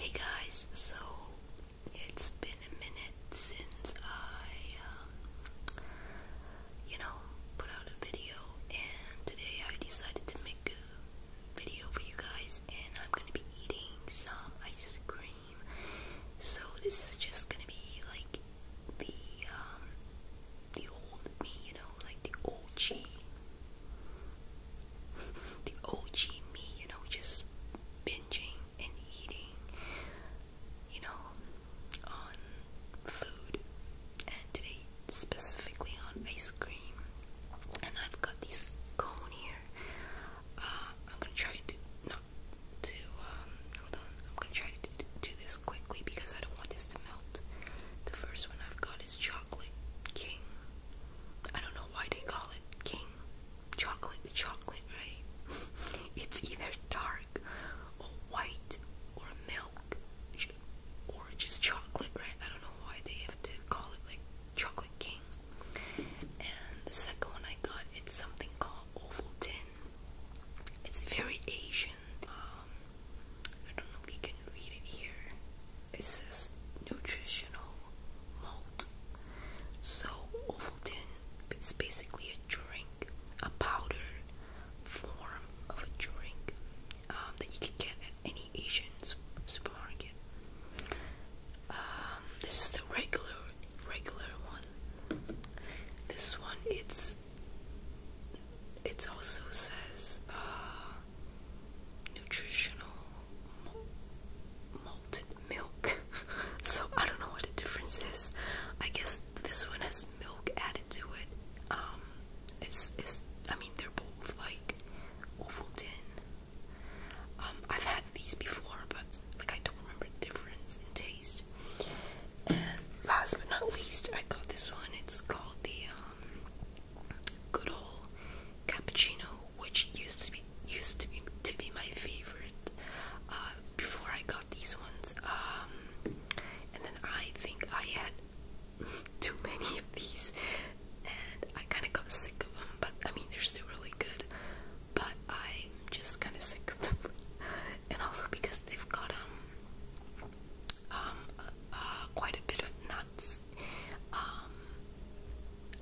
Hey guys, so it's been a minute since I, um, you know, put out a video, and today I decided to make a video for you guys, and I'm gonna be eating some ice cream. So this is just gonna be like the um, the old me, you know, like the OG, the OG me, you know, just binging and eating, you know, on food, and today specifically on ice cream. And I've got this cone here. Uh, I'm gonna try to not to um, hold on. I'm gonna try to do this quickly because I don't want this to melt. The first one I've got is chocolate king. I don't know why they call it king chocolate is chocolate, right? it's either dark or white or milk or just chocolate, right? I don't know why they have to call it like chocolate king. And the second one I got, it's something called Ovaltine. It's very Asian. Um, I don't know if you can read it here. It says nutritional malt so Ovaltine is basically a drink, a powder form of a drink um, that you can get at any Asian supermarket. Um, this is the regular, regular one. This one, it's it also says uh, nutritional malted milk. so I don't know what the difference is. I guess this one has milk added to it. Um, it's it's. I mean, they're both like Ovaltine. Um, I've had these before, but like I don't remember the difference in taste. And last but not least, I got this one. It's called the um, Good Old Cappuccino, which used to be be used to be to be my favorite uh, before I got these ones. Um, and then I think I had too many of these, and I kind of got sick of them. But I mean, they're still really good. But I'm just kind of sick of them, and also because they've got um um uh, uh, quite a bit of nuts, um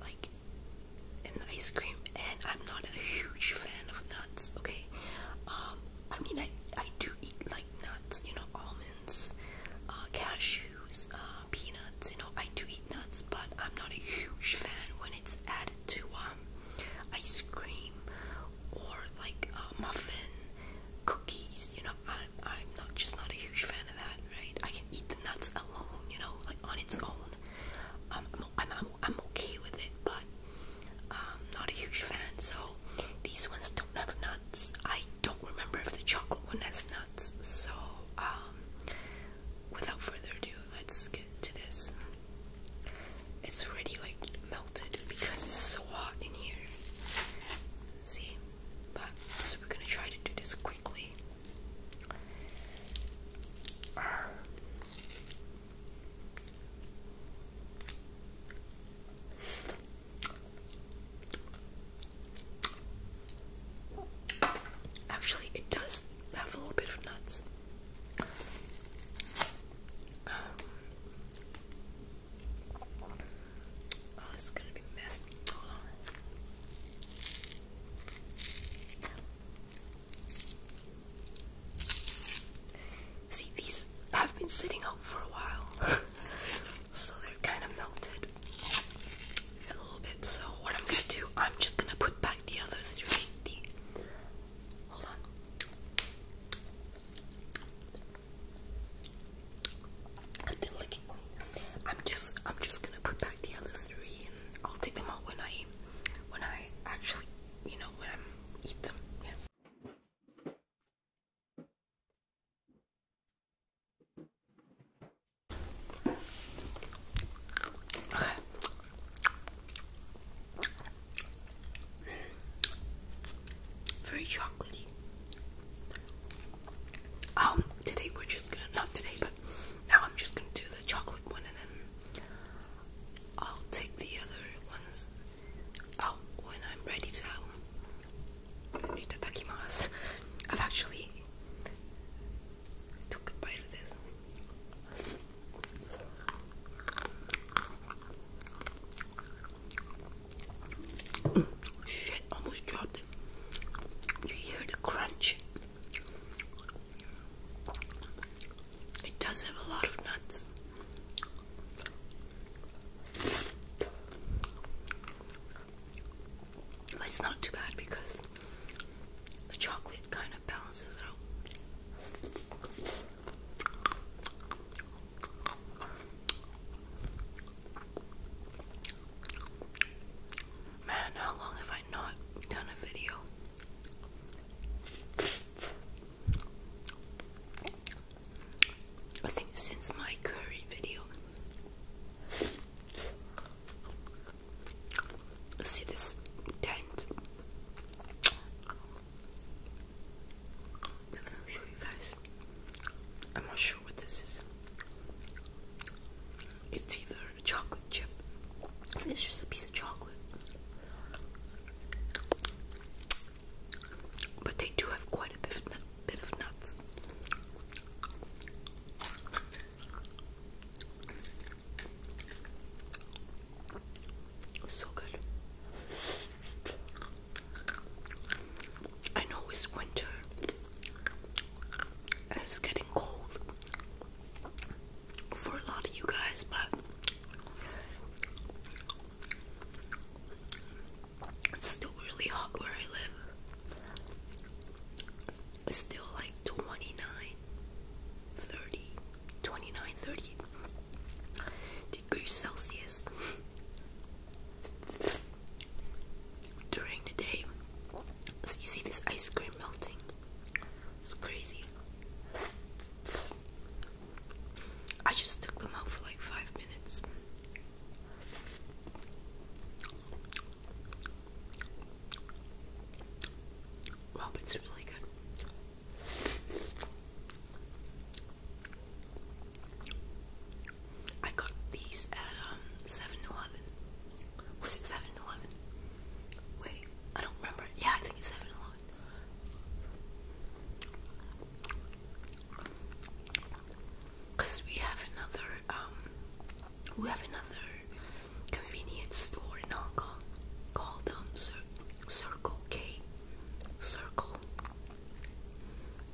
like and ice cream, and I'm not a huge fan of nuts. Okay, um, I mean I I do eat like nuts, you know, almonds, uh, cashews, uh, peanuts. You know, I do eat nuts, but I'm not a huge fan when it's added to um ice cream or like uh, muffin cookies. You know, I'm I'm not just not a huge fan of that. Right? I can eat the nuts alone. You know, like on its own. Um, I'm, I'm, I'm, okay with it, but um, not a huge fan. So these ones don't have nuts. I don't remember if the chocolate one has nuts. So um, without further ado, let's get to this. It's already like melted because it's so hot in here. See, but so we're gonna try to do this quickly. Actually, it does have a little bit of nuts. Um, oh, this is gonna be messy. Hold on. See, these have been sitting out for a while, so they're kind of melted a little bit. So, what I'm gonna do, I'm just gonna put back the others to make the. Hold on. I'm just, I'm just gonna put back the other three, and I'll take them out when I, when I actually, you know, when I eat them. Yeah. Very chocolatey. Um, today we're just gonna, not today, but now I'm just gonna do the chocolate one and then I'll take the other ones out when I'm ready to. Itadakimasu. I've actually took a bite of this. Shit, almost dropped it. You hear the crunch. It does have a lot of nuts. it's not too bad because the chocolate kind of balances it out. Man, how long have I I not done a video? I think since my curry video. See this tent? am I'm not sure what this is. It's either chocolate chip. it's just a piece of chocolate. But they do have quite a bit of nuts. So good. I know it's winter, it's getting cold for a lot of you guys, but it's still really hot where I live. It's still like 29, degrees Celsius during the day. So you see this ice cream melting. It's crazy. I just took them out for like five minutes. Wow, it's really good. I got these at um was it 7 Wait, I don't remember. Yeah, I think it's 7 Cause we have another um we have another convenience store in Hong Kong called them um, Circle K Circle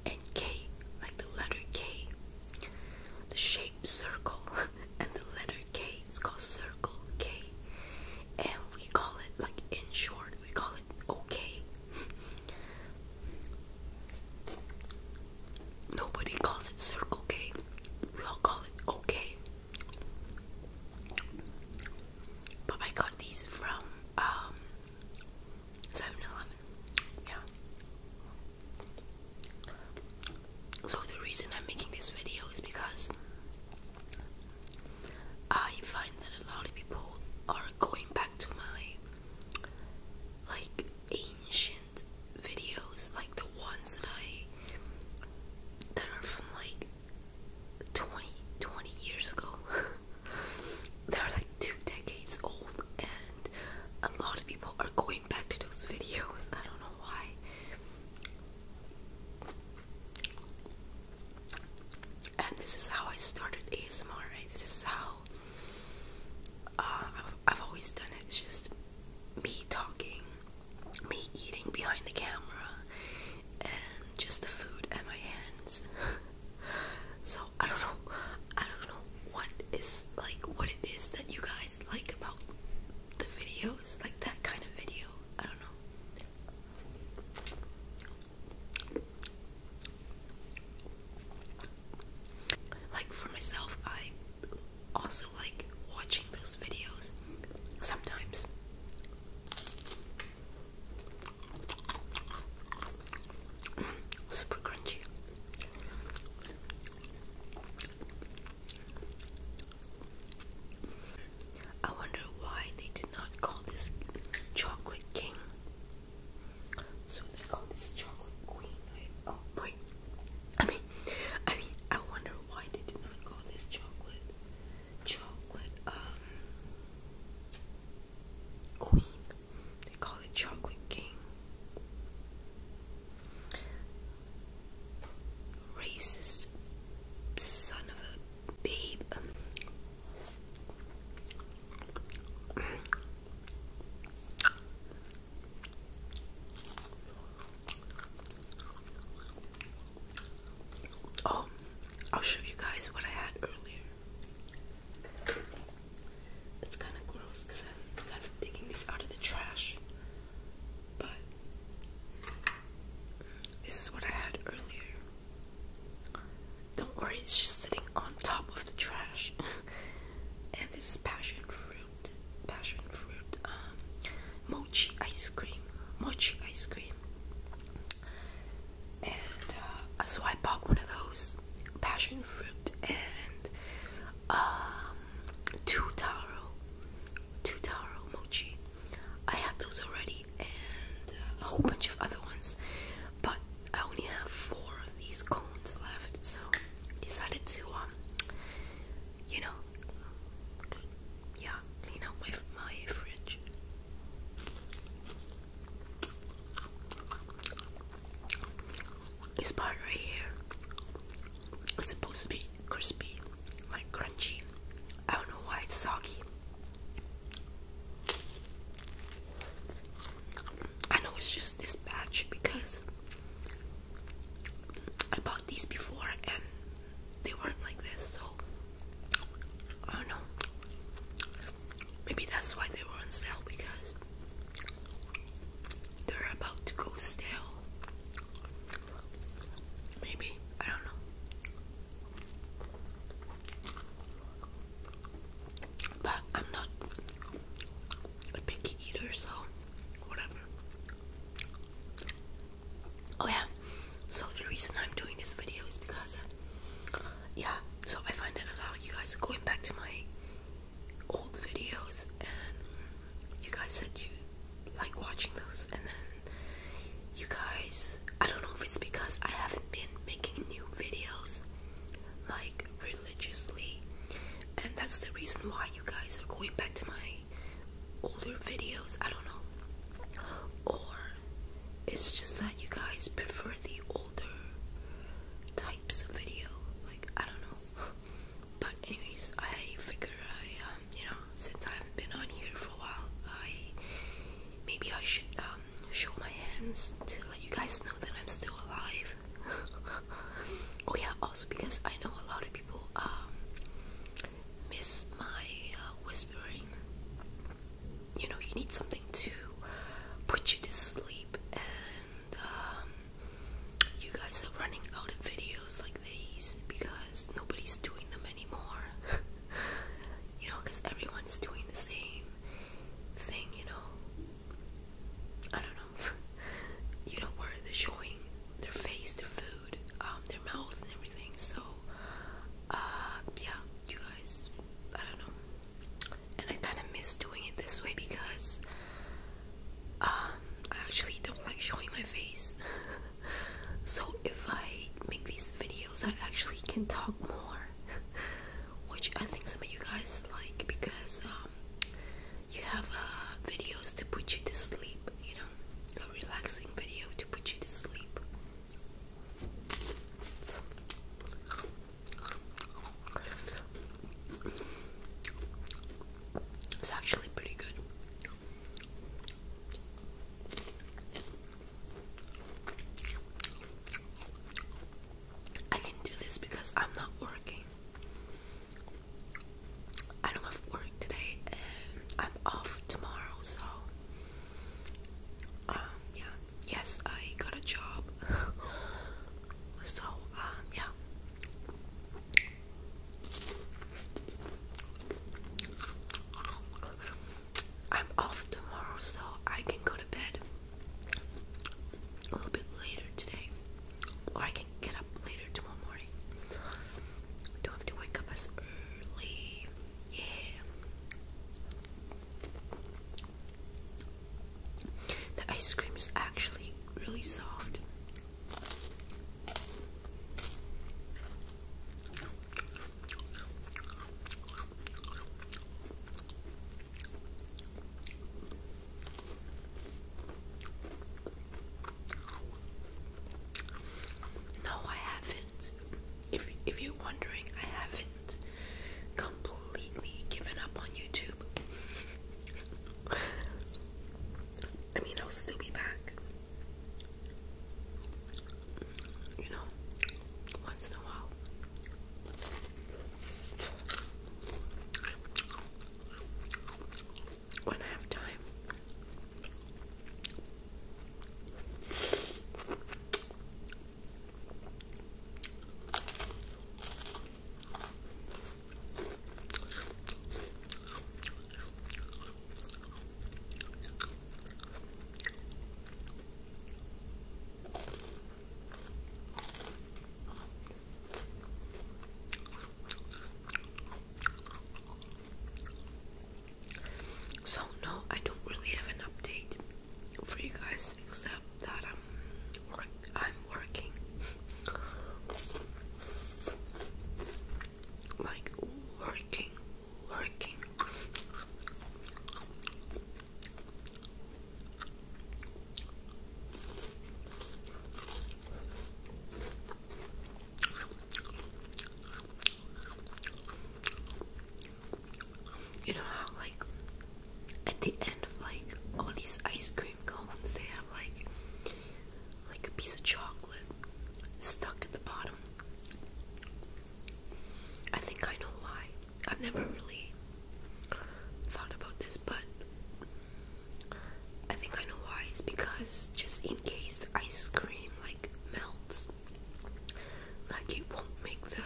and K like the letter K the shape circle and the letter K is called circle K and we call it like in short we call it okay. Nobody calls it circle K. We all call it okay. But I got these from um Yeah. So the reason I'm making this video is because I find that a lot of people are going back to my like ancient videos, like the ones that I that are from like 20 years ago. They're like two decades old a lot of people are going back to those videos. I don't know why. And this is how I started ASMR, right? This is how uh, I've, always done it. It's just me talking, me eating behind the camera, and just the food at my hands. so I don't know. I don't know what is like what it is that you guys like about the videos, like that kind of video. I don't know. Like for myself, I also like watching those videos sometimes. Super crunchy. I wonder why they did not call this chocolate king. So they call this chocolate queen, Oh wait. I mean I mean I wonder why they did not call this chocolate chocolate um, queen. They call it Chocolate King. Racist son of a babe. Oh, I'll show you guys what I had earlier. It's kind of gross because I'm kind of digging this out of the trash. But this is what I had earlier. Don't worry, it's just sitting on top of the trash. and this is passion fruit, passion fruit, um, mochi ice cream, mochi ice cream. And uh, so I bought one of those passion fruit, and um Tutaro Tutaro mochi. I have those already and a whole bunch of other ones, but I only have four of these cones left, so decided to um you know yeah, clean out my my fridge. This part right here is supposed to be crispy, like crunchy. I don't know why it's soggy. I know it's just this batch because I bought these before and they weren't like this, so I don't know. Maybe that's why they were on sale because they're about to go stale. Maybe, I don't know. But I'm not a picky eater, so whatever. Oh, yeah. So, the reason I'm doing this video is because, yeah, so I find that a lot of you guys are going back to my old videos, and you guys said you like watching those, and then you guys, I don't know if it's because I haven't been making new videos like religiously, and that's the reason why you guys are going back to my older videos. I don't know, or it's just that you guys prefer the older types of video. Like, I don't know. But anyways, I figure I, um, you know, since I haven't been on here for a while, I maybe I should um, show my hands to let you guys know that I'm still alive. oh yeah, also because I know a lot of people um, miss my uh, whispering. You know, you need something to put you to sleep and um, you guys are running out of videos like these because nobody's doing them anymore. you know, because everyone's doing the same thing, you know. I don't know. you know, where they're showing their face, their food, um, their mouth, and everything. So, uh, yeah, you guys, I don't know and I kind of miss doing it this way because um, I actually don't like showing my face. so if I make these videos, I actually can talk more, which I think some of you guys like because um, you have uh, videos to put you to sleep, you know, a relaxing video to put you to sleep. It's actually pretty good. I can do this because I'm not working. I don't have work today and I'm off tomorrow, so um yeah. Yes, I got a job. So, um, yeah. I'm off tomorrow, so I can go to bed a little bit later today. Or I can get up later tomorrow morning. Don't have to wake up as early. Yeah. The ice cream is actually really soft. No, I haven't. If if you're wondering, I haven't completely given up on YouTube. I mean, I'll still be back. You know, once in a while. When I have time. So no, I don't really have an update for you guys except that um, I'm working. Like working, working. You know how like at the end of like all these ice cream cones, they have like like a piece of chocolate stuck at the bottom. I think I know why. I've never really thought about this, but I think I know why. It's because just in case the ice cream like melts, like it won't make the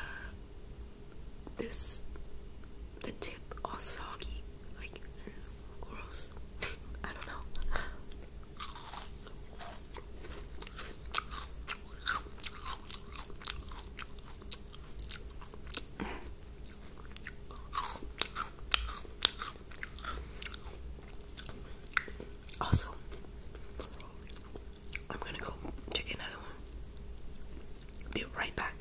this the tip all soggy, like gross. I don't know. Also, I'm gonna go check another one. Be right back.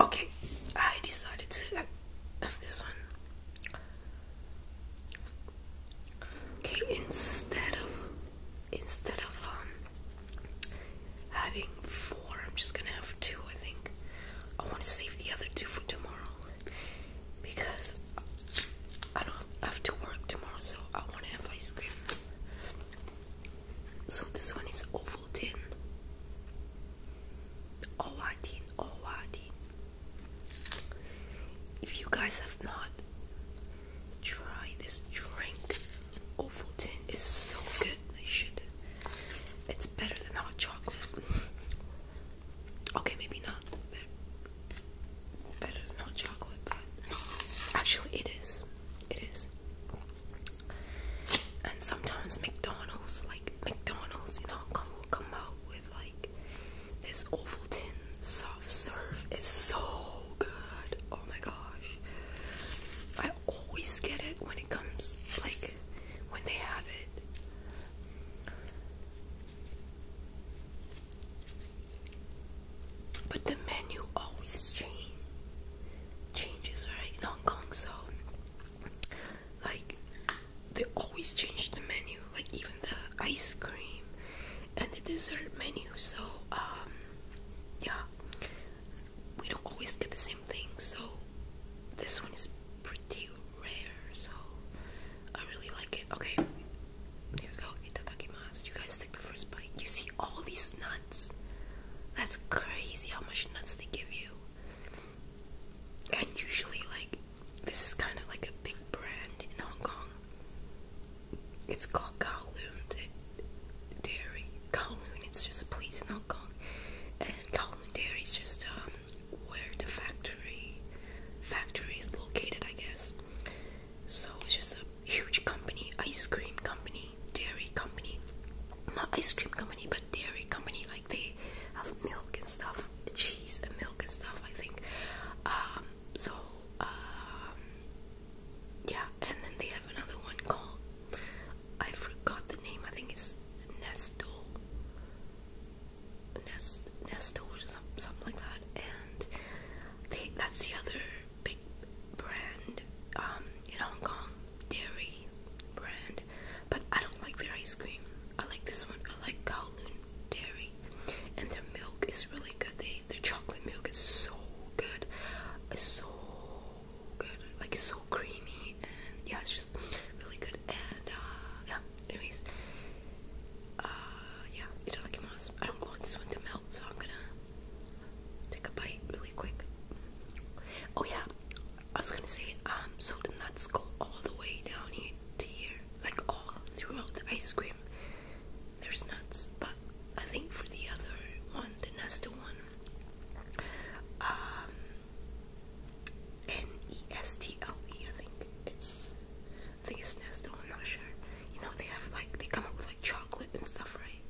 Okay, I decided to have uh, this one. Okay, instead of instead of um, having four, I'm just gonna have two. I think I want to save the other two for tomorrow because I don't have to work tomorrow, so I want to have ice cream. So this one is Ovaltine. Ovaltine, Ovaltine. If you guys have not tried this drink, Ovaltine is so good. You should. It's better than hot chocolate. okay, maybe not better than hot chocolate, but actually it is. It is. And sometimes McDonald's, like McDonald's in Hong Kong, will come out with like this this tin soft serve is so good. Oh my gosh. I always get it when it comes like when they have it. But the menu always change changes, right? In Hong Kong, so like they always change the menu, like even the ice cream and the dessert menu. So, um, yeah, we don't always get the same thing. So, this one is pretty rare. So, I really like it. Okay, here we go. Itadakimasu. You guys take the first bite. You see all these nuts. That's crazy how much nuts they give you. And usually, like, this is kind of like a big brand in Hong Kong. It's called Kowloon Dairy. Kowloon, it's just a place in Hong Kong. And Kowloon Dairy is just um, where the factory factory is located, I guess. So it's just a huge company, ice cream company, dairy company. Not ice cream company, but dairy company. Like they have milk and stuff, cheese and milk and stuff, I think. Um, so, um, yeah, and then they have another one called, I forgot the name, I think it's Nestle, Nest, Nestle or something like that, and they, that's the other big brand, um, in Hong Kong, dairy brand, but I don't like their ice cream, I like this one, I like Kowloon dairy, and their milk is really good. They their chocolate milk is so good, it's so good, like it's so creamy, and yeah, it's just really good. And uh, yeah, anyways, uh, yeah, itadakimasu. I don't want this one to melt, so I'm gonna take a bite really quick. Oh yeah, I was gonna say, um, so the nuts go all the way down here tiny like all throughout the ice cream. There's nuts, but I think for the other one, the Nestle one, um, N E S T L E, I think it's, I think it's Nesta. I'm not sure. You know they have like they come up with like chocolate and stuff, right?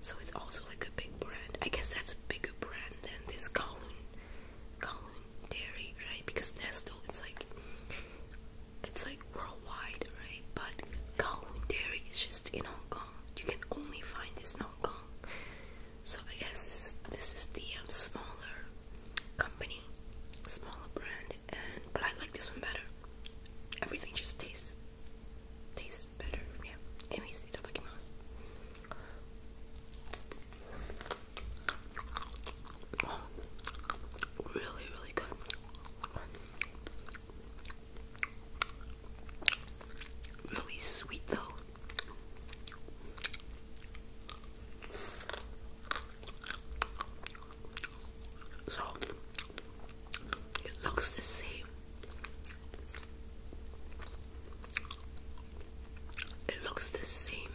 So it's also like a big brand. I guess that's a bigger brand than this Kowloon Dairy, right? Because Nestle, it's like it's like worldwide, right? But Kowloon Dairy is just in Hong Kong. You can only find this in Hong Kong. So I guess this is, the um, smaller company, smaller brand, and but I like this one better. Everything just tastes tastes better. Yeah. Anyways, itadakimasu. Really, really good. Really sweet though. So it looks the same. It looks the same.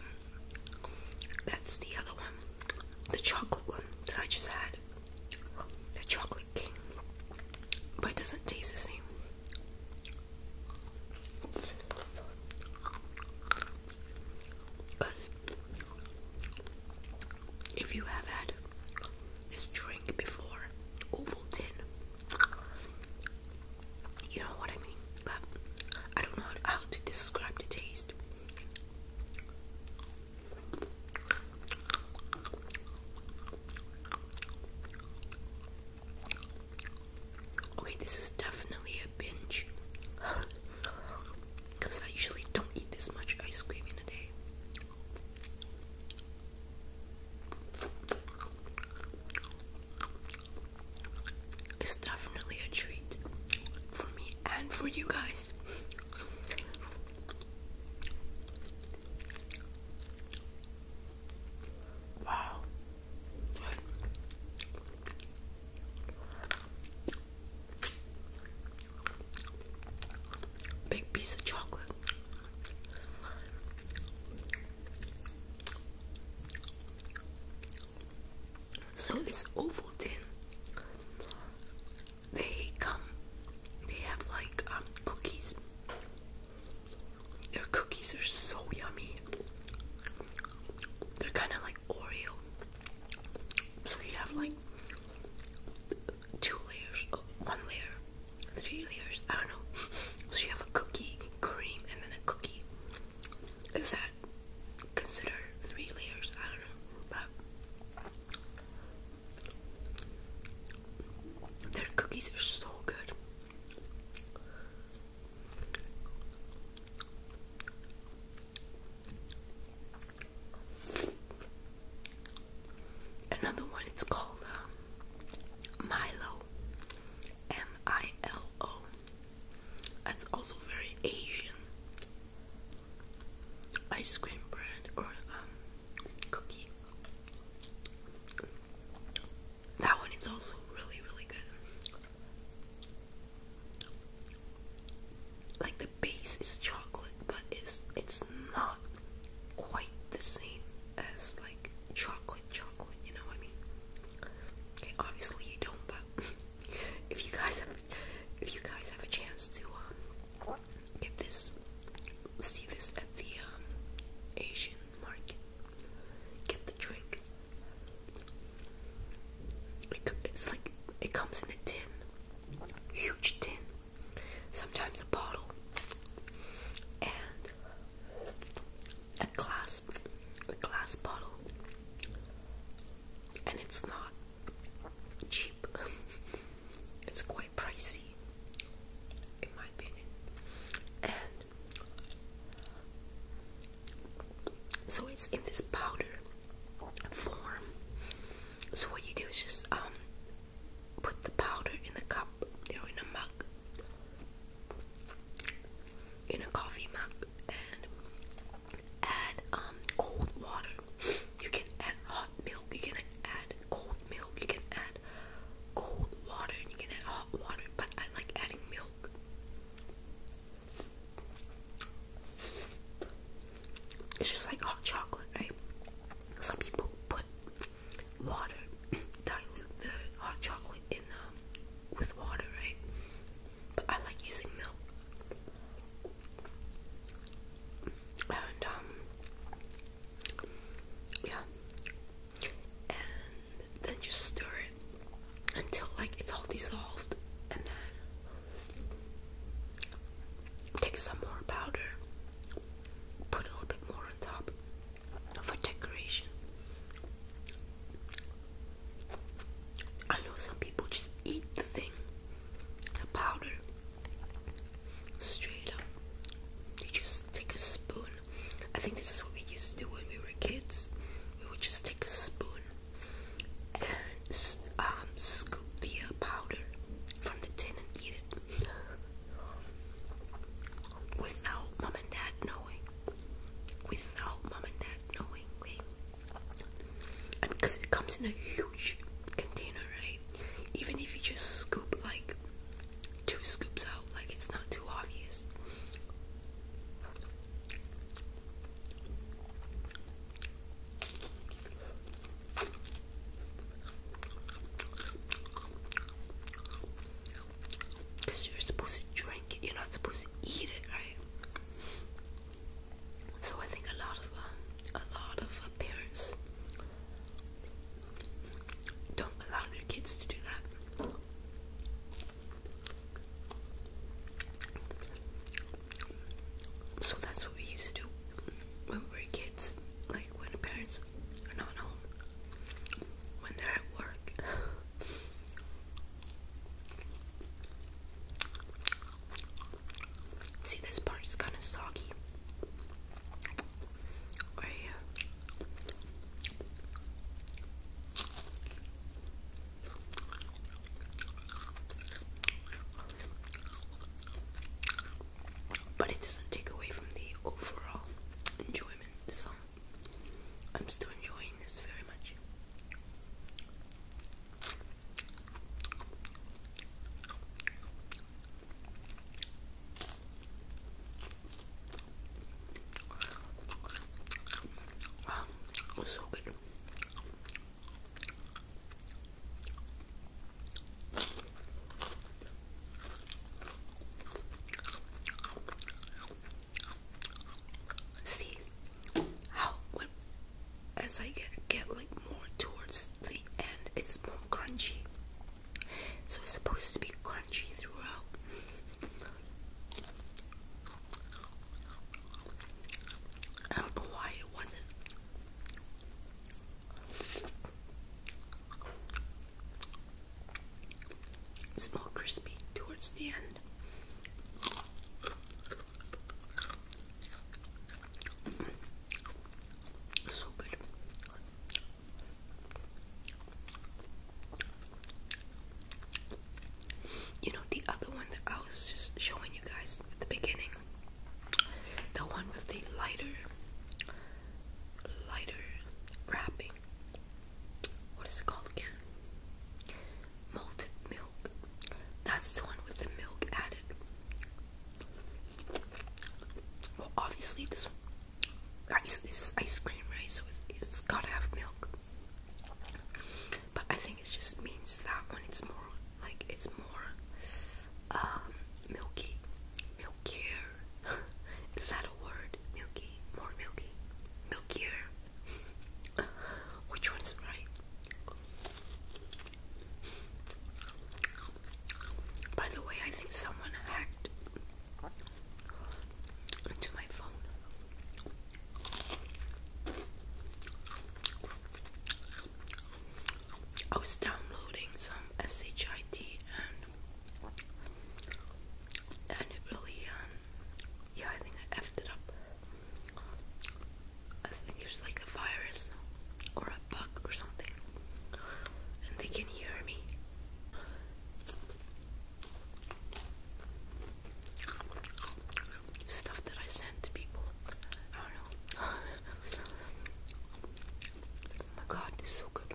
That's the other one. The chocolate one that I just had. The chocolate king. But doesn't taste the same. Because if you have had this drink before, Ovaltine, you know what I mean? But I don't know how to describe the taste. Okay, this is definitely a binge. Because I usually don't eat this much ice cream in a day. It's definitely a treat for me and for you guys. Wow. Big piece of chocolate. So this Ovaltine, they come, they have like um, cookies. Their cookies are so yummy. They're kind of like Oreo. So you have like two layers, oh, one layer, three layers, I don't know. So you have a cookie cream and then a cookie is that considered three layers? I don't know, but their cookies are so good. Another one, it's called um, Milo. M I L O. That's also very Asian. Ice cream bread or um, cookie. That one is also really really good. Like the base is chocolate, but it's it's not quite the same as like chocolate chocolate, you know what I mean? Okay, obviously you don't but if you guys have if you guys have a chance to um, get this see this at the um, Asian market get the drink it, it's like it comes in a tin huge tin sometimes a bottle and a glass a glass bottle and it's not cheap. it's quite pricey, in my opinion. And so it's in this powder form. So what you do is just um put the powder in the cup, you in a mug, in a coffee mug and add um, cold water. You can add hot milk, you can add cold milk, you can add cold water, and you can add hot water, but I like adding milk. It's just like hot chocolate, right? Some people put water, dilute the hot chocolate in the. Um, with water, right? But I like using milk. And, um, yeah. And then just stir it until, like, it's all dissolved. And then take some more powder, put a little bit more on top for decoration. I know some people just eat the thing, the powder, straight up. They just take a spoon. I think this is what we used to do when we were kids. We would just take a spoon and um, scoop the uh, powder from the tin and eat it without mom and dad knowing without mom and dad knowing. And because it comes in a huge container, right? Even if you just scoop like two scoops out, like it's not too obvious. Because you're supposed to drink it, you're not supposed to eat it, right? So I think a lot of um, a lot of uh, parents don't allow their kids to do that. So that's what we used to do when we were kids, like when the parents are not home, when they're at work. See, this part is kind of soggy. Uh, but it doesn't take away from the overall enjoyment, so I'm still enjoying this very much. Wow, it so good see how as I get get like more towards the end, it's more crunchy. So it's supposed to be crunchy throughout. I don't know why it wasn't. It's more crispy towards the end. Mm-hmm. So good. You know, the other one that I was just showing you guys at the beginning, the one with the lighter, lighter wrapping, what is it called again? Malted milk. That's the one with the milk added. Well, obviously this ice this is ice cream, right? So it's, it's gotta have milk. But I think it just means that one it's more like it's more um milky, milkier, Is that a word? Milky? More milky? Milkier? Which one's right? By the way, I think someone hacked my phone. I was downloading some SHIT and and it really, um, yeah, I think I effed it up. I think it's like a virus or a bug or something, and they can hear me. Stuff that I send to people. I don't know. Oh my god, it's so good.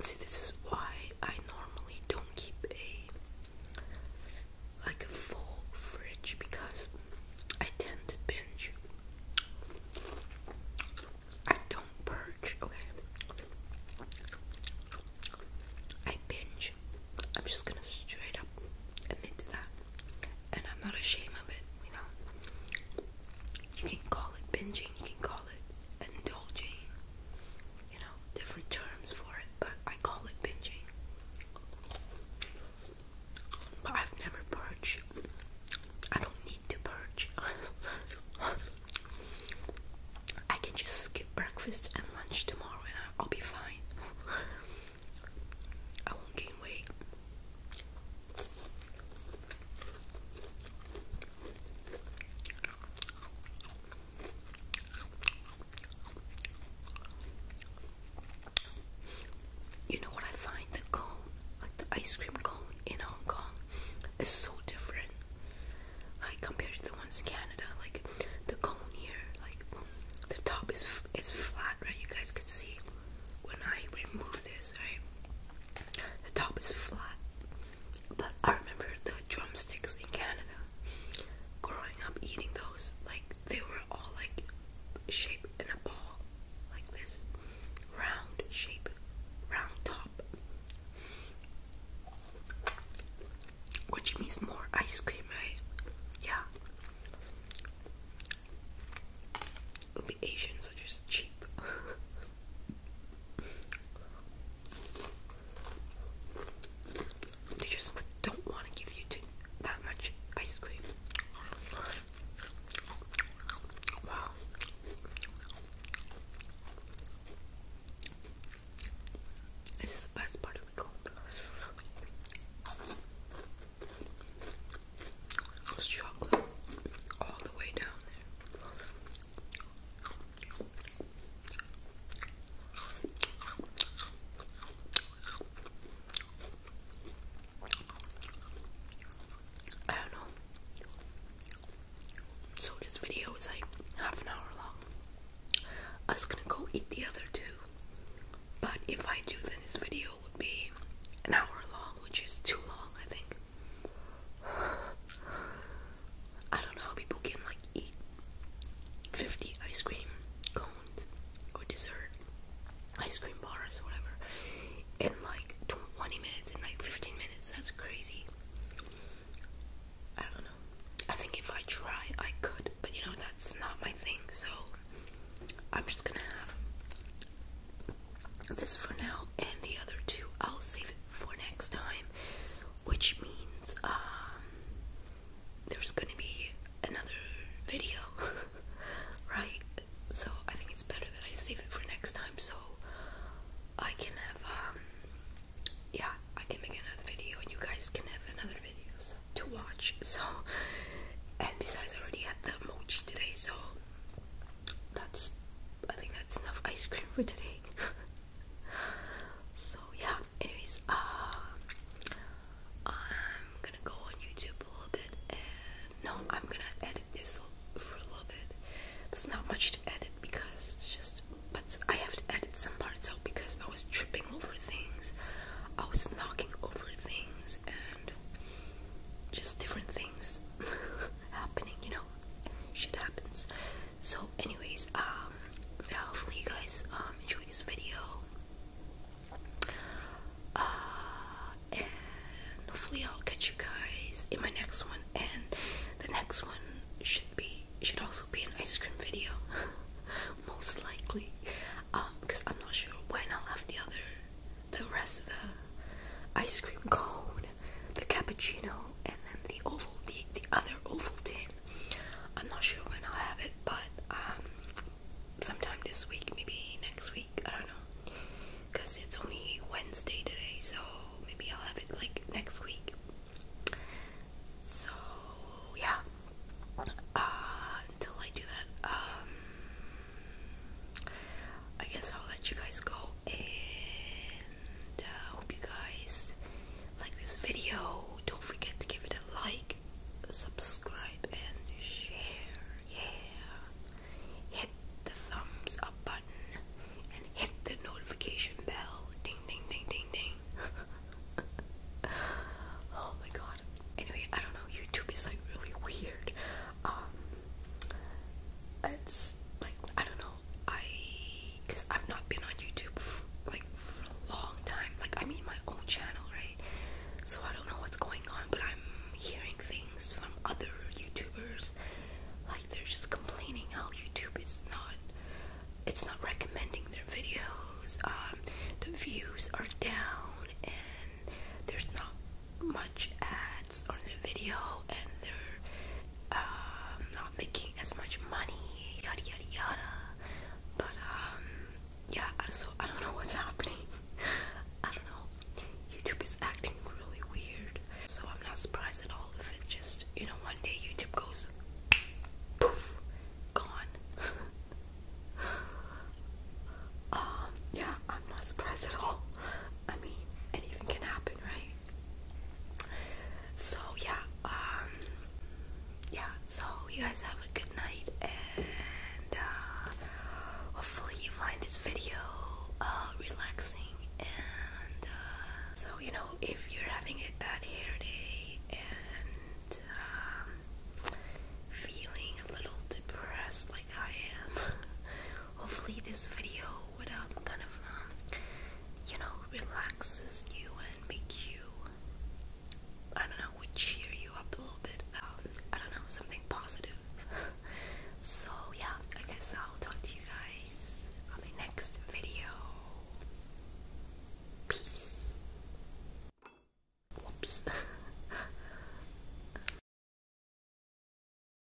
See, this is why I normally don't keep a like a full fridge because I tend to binge. I don't purge, okay? I binge. I'm just gonna straight up admit to that. And I'm not ashamed of it, you know? You can call it binging, you can call it indulging, you know, different terms for it, but I call it binging. I've never purged. I don't need to purge. I can just skip breakfast and lunch tomorrow and I'll be fine. I won't gain weight. You know what I find the cone, like the ice cream cone in Hong Kong, is so different. Like compared to the ones in Canada, like the cone here, like the top is is flat, right? You guys could see when I remove this, right? The top is flat. But I remember the drumsticks in Canada. Growing up eating those, like they were all like shaped in a ball, like this round shape, round top. Which means more ice cream, right? Yeah. The Asians are just cheap. They just don't want to give you too, that much ice cream. Wow. This is the best part of the cone. chocolate all the way down there. I don't know. So this video is like half an hour long. I was gonna go eat the other two. But if I do then this video would be an hour long, which is too long I think. I don't know how people can like eat 50 ice cream cones or dessert ice cream bars or whatever in like 20 minutes in like 15 minutes that's crazy I don't know I think if I try I could but you know that's not my thing so I'm just gonna have this for now and the other two I'll save it for next time, which means um, there's gonna be another video, right? So I think it's better that I save it for next time so I can have, um, yeah, I can make another video and you guys can have another video to watch. So, and besides, I already had the mochi today, so that's I think that's enough ice cream for today. so yeah, anyways, uh, I'm gonna go on YouTube a little bit and no, I'm gonna edit this for a little bit. There's not much to edit because just but I have to edit some parts out because I was tripping over things. I was knocking over things and just different things. happening, you know, shit happens. So, anyways, um, hopefully you guys um enjoy this video. Uh, and hopefully I'll catch you guys in my next one. And the next one should be should also be an ice cream video, most likely. Um, because I'm not sure when I'll have the other, the rest of the ice cream cone the cappuccino and then the oval, the, the other oval tin. I'm not sure when I'll have it, but um, sometime this week, maybe next week, I don't know. Because it's only Wednesday today, so maybe I'll have it like next week. So, yeah. Uh, until I do that, um, I guess I'll let you guys go and uh, I hope you guys like this video. Don't forget to give it a like, subscribe, and share. Yeah, hit the thumbs up button and hit the notification bell. Ding, ding, ding, ding, ding. oh my god. Anyway, I don't know. YouTube is like really weird. Um, it's like I don't know. I because I've not been on YouTube like for a long time. Like I mean my own channel, right? So I don't know what's going on, but I'm hearing things from other YouTubers. Like they're just complaining how YouTube is not it's not recommending their videos. Um the views are down and there's not much ads on the video and they're um, not making as much money, yada yada yada. But um, yeah, also I don't know what's happening. I don't know. YouTube is acting really weird, so I'm not surprised at all if it just you know one day YouTube goes poof, gone. Um, yeah, I'm not surprised at all. I mean, anything can happen, right? So yeah, um, yeah, so you guys have a good night and uh, hopefully you find this video uh, relaxing and uh, so you know if you're having a bad hair day and um, feeling a little depressed like I am hopefully this video would um kind of um, you know relaxes you and make you I don't know cheer you up a little bit um, I don't know something positive so yeah I guess I'll talk to you guys on the next video peace whoops